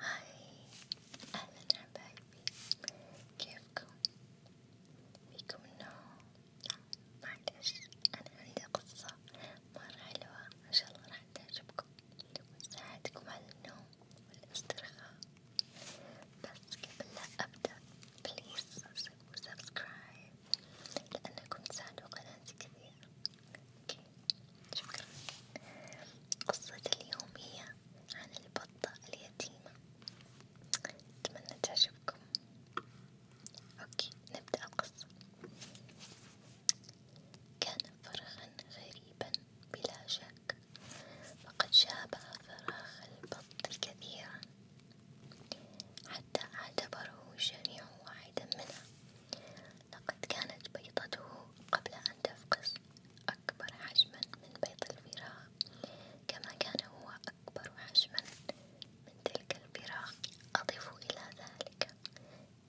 هاي أهلا حبايبي كيفكم؟ فيكم النوم؟ معلش أنا عندي قصة مرة حلوة إن شاء الله راح تعجبكم وتساعدكم على النوم والاسترخاء بس قبل لا أبدأ بليز سووا سبسكرايب لأنكم تساعدوا قناتي كثير أوكي شكرا، قصة اليوم هي عن البطة اليتيمة، أتمنى تعجبكم، أوكي نبدأ القصة، كان فرخا غريبا بلا شك، فقد شابه فراغ البط كثيرا. حتى اعتبره جميع واحدا منها لقد كانت بيضته قبل أن تفقس أكبر حجما من بيض الفراخ كما كان هو أكبر حجما من تلك الفراخ أضف إلى ذلك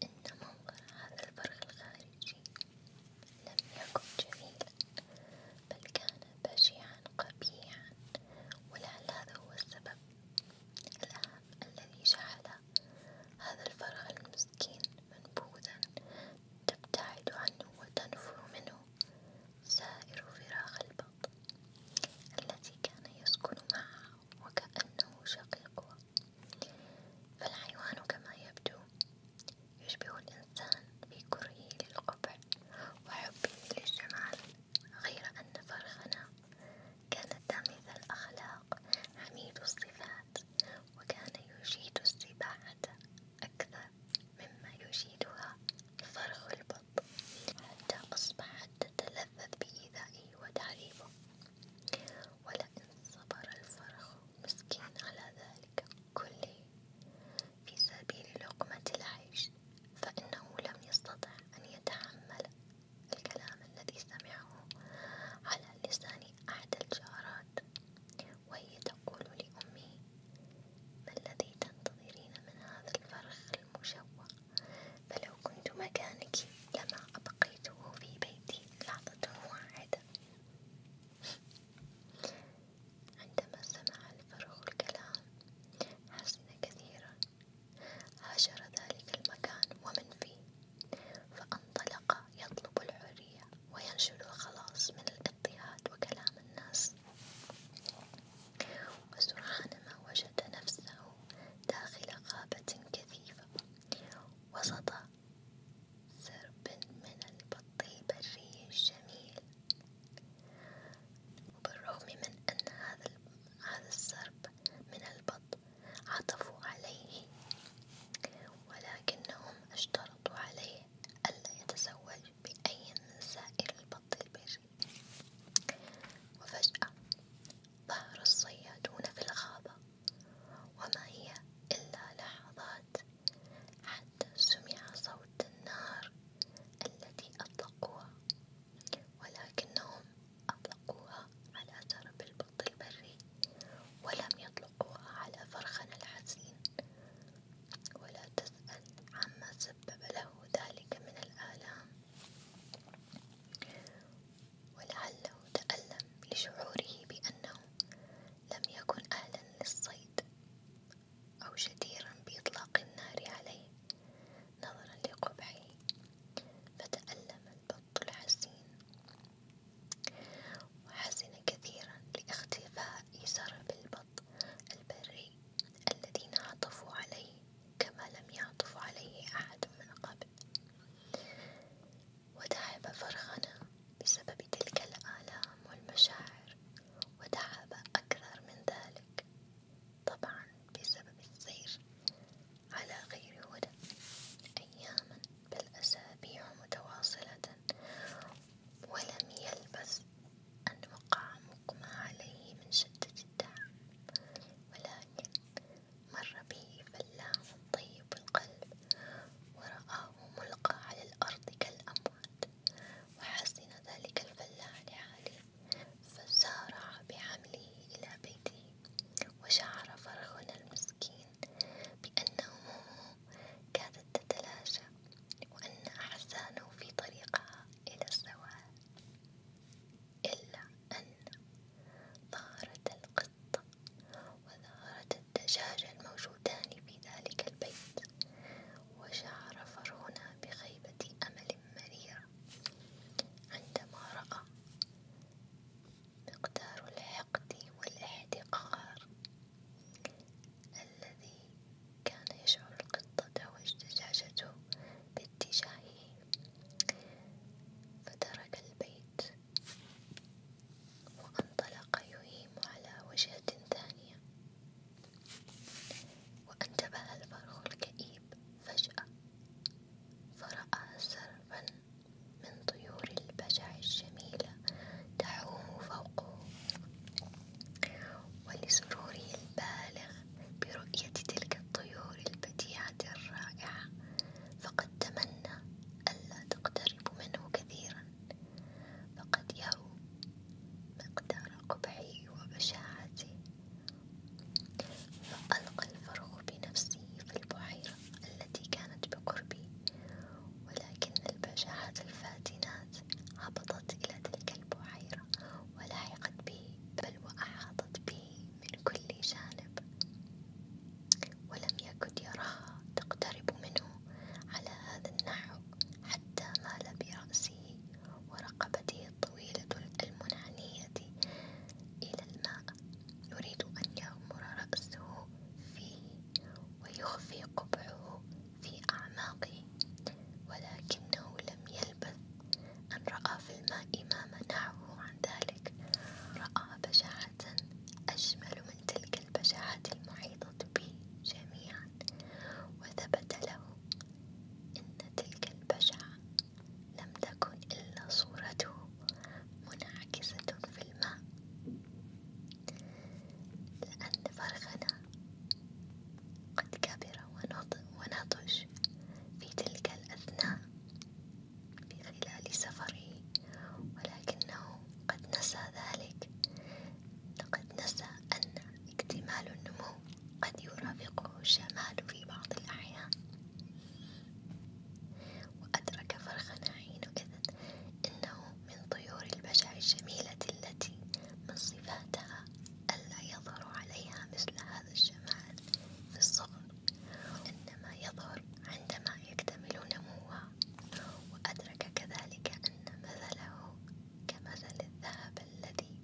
إن منظر هذا الفرخ الخارجي لم يكن جميلا بل كان بشعا قبيحا ولعل هذا هو السبب الأهم الذي جعل هذا الفرخ المسكين منبوذا تبتعد عنه وتنفر منه سائر فراخ البطن التي كان يسكن معها وكأنه شقيقها فالحيوان كما يبدو يشبه الإنسان في كرهه للقبح وحبه للجمال غير أن فرخنا كانت مثل الأخلاق الأخلاق حميد الصفات وكان يجيد السباحة أكثر مما يجيدها فرخ البط حتى أصبحت تتلذذ بإيذائه وتعذيبه ولئن صبر الفرخ مسكين على ذلك كله في سبيل لقمة العيش فإنه لم يستطع أن يتحمل الكلام الذي سمعه على لسان أحد الجارات وهي تقول لأمه ما الذي تنتظرين من هذا الفرخ المشوه فلو كنت مكانك لما أبقيته في بيتي لحظة واحدة عندما سمع الفرخ الكلام حزن كثيرا هاجر ذلك المكان ومن فيه فانطلق يطلب الحرية وينشر الخلاص من الاضطهاد وكلام الناس وسرعان ما وجد نفسه داخل غابة كثيفة وسط سرب من البط البري الجميل وبالرغم من أن هذا السرب من البط عطفوا عليه ولكنهم اشترطوا عليه ألا يتزوج بأي من سائر البط البري وفجأة ظهر الصيادون في الغابة وما هي إلا لحظات حتى سمع صوت النار التي أطلقوها ولكنهم أطلقوها على ترب البط البري ولم يطلقوها على فرخنا الحزين ولا تسأل عما سبب له ذلك من الآلام ولعله تألم لشعوره بأنه لم يكن أهلا للصيد أو جديرا بإطلاق النار عليه نظرا لقبحه فتألم البط الحزين وحزن كثيرا لاختفاء سرب البط البري الذين عطفوا عليه كما لم يعطف عليه أحد من قبل وتعب فرخنا بسبب تلك الآلام والمشاعر وتعب أكثر من ذلك طبعا بسبب السير على غير هدى أياما بل أسابيع متواصلة ولم يلبث أن وقع مقمى عليه من شدة التعب ولكن مر به فلاح طيب القلب ورآه ملقى على الأرض كالأموات وحزن ذلك الفلاح لحاله فسارع بحمله إلى بيته وشعر فرخنا المسكين بأن همومه كادت تتلاشى وأن أحزانه في طريقها إلى الزوال إلا أن ظهرت القطة وظهرت الدجاجة الموجودان في ذلك البيت وشعر فرعون بخيبة أمل مريرة عندما رأى مقدار الحقد والاحتقار الذي كان يشعر القطة واجتجاجته باتجاهه فترك البيت وانطلق يهيم على وجهة ثانية وانتبه الفرخ الكئيب فجأة فرأى سربا من طيور البجع الجميلة تعوم فوقه ولسروره البالغ برؤية تلك الطيور البديعة الرائعة فقد تمنى ألا تقترب منه كثيرا فقد يرو مقدار قبحه وبشاعته فألقى الفرخ بنفسه في البحيرة التي كانت بقربي، ولكن البجاعات الفاتنات هبطت إلى تلك البحيرة ولحقت به بل وأحاطت به من كل جانب، ولم يكد يراها تقترب منه على هذا النحو حتى مال برأسه ورقبته الطويلة المنحنية إلى الماء يريد أن يغمر رأسه فيه ويخفي قبعه في أعماقه ولكنه لم يلبث أن رأى في الماء ما منعه عن ذلك رأى بشعة أجمل من تلك البشعات المحيطة به جميعا وثبت له أن تلك البشعة لم تكن إلا صورته منعكسة في الماء، لأن فرخنا قد كبر ونضج في تلك الأثناء في خلال سفره، ولكنه قد نسى ذلك، لقد نسى أن اكتمال النمو قد يرافقه الشمال في بعض الأحيان. وأدرك فرخا حين إذ إنه من طيور البشع الجميلة التي من صفاتها ألا يظهر عليها مثل هذا الجمال في الصغر وإنما يظهر عندما يكتمل نموها وأدرك كذلك أن مثله كمثل الذهب الذي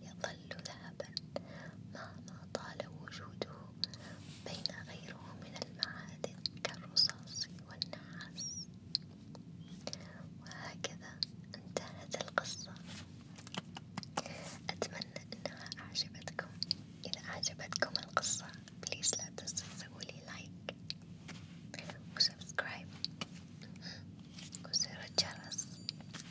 يطل أقل ذهبا مهما طال وجوده بين غيره من المعادن كالرصاص والنحاس وهكذا انتهت القصة أتمنى أنها أعجبتكم إذا أعجبتكم القصة بليز لا تنسوا تسوولي لايك وسبسكرايب وزر الجرس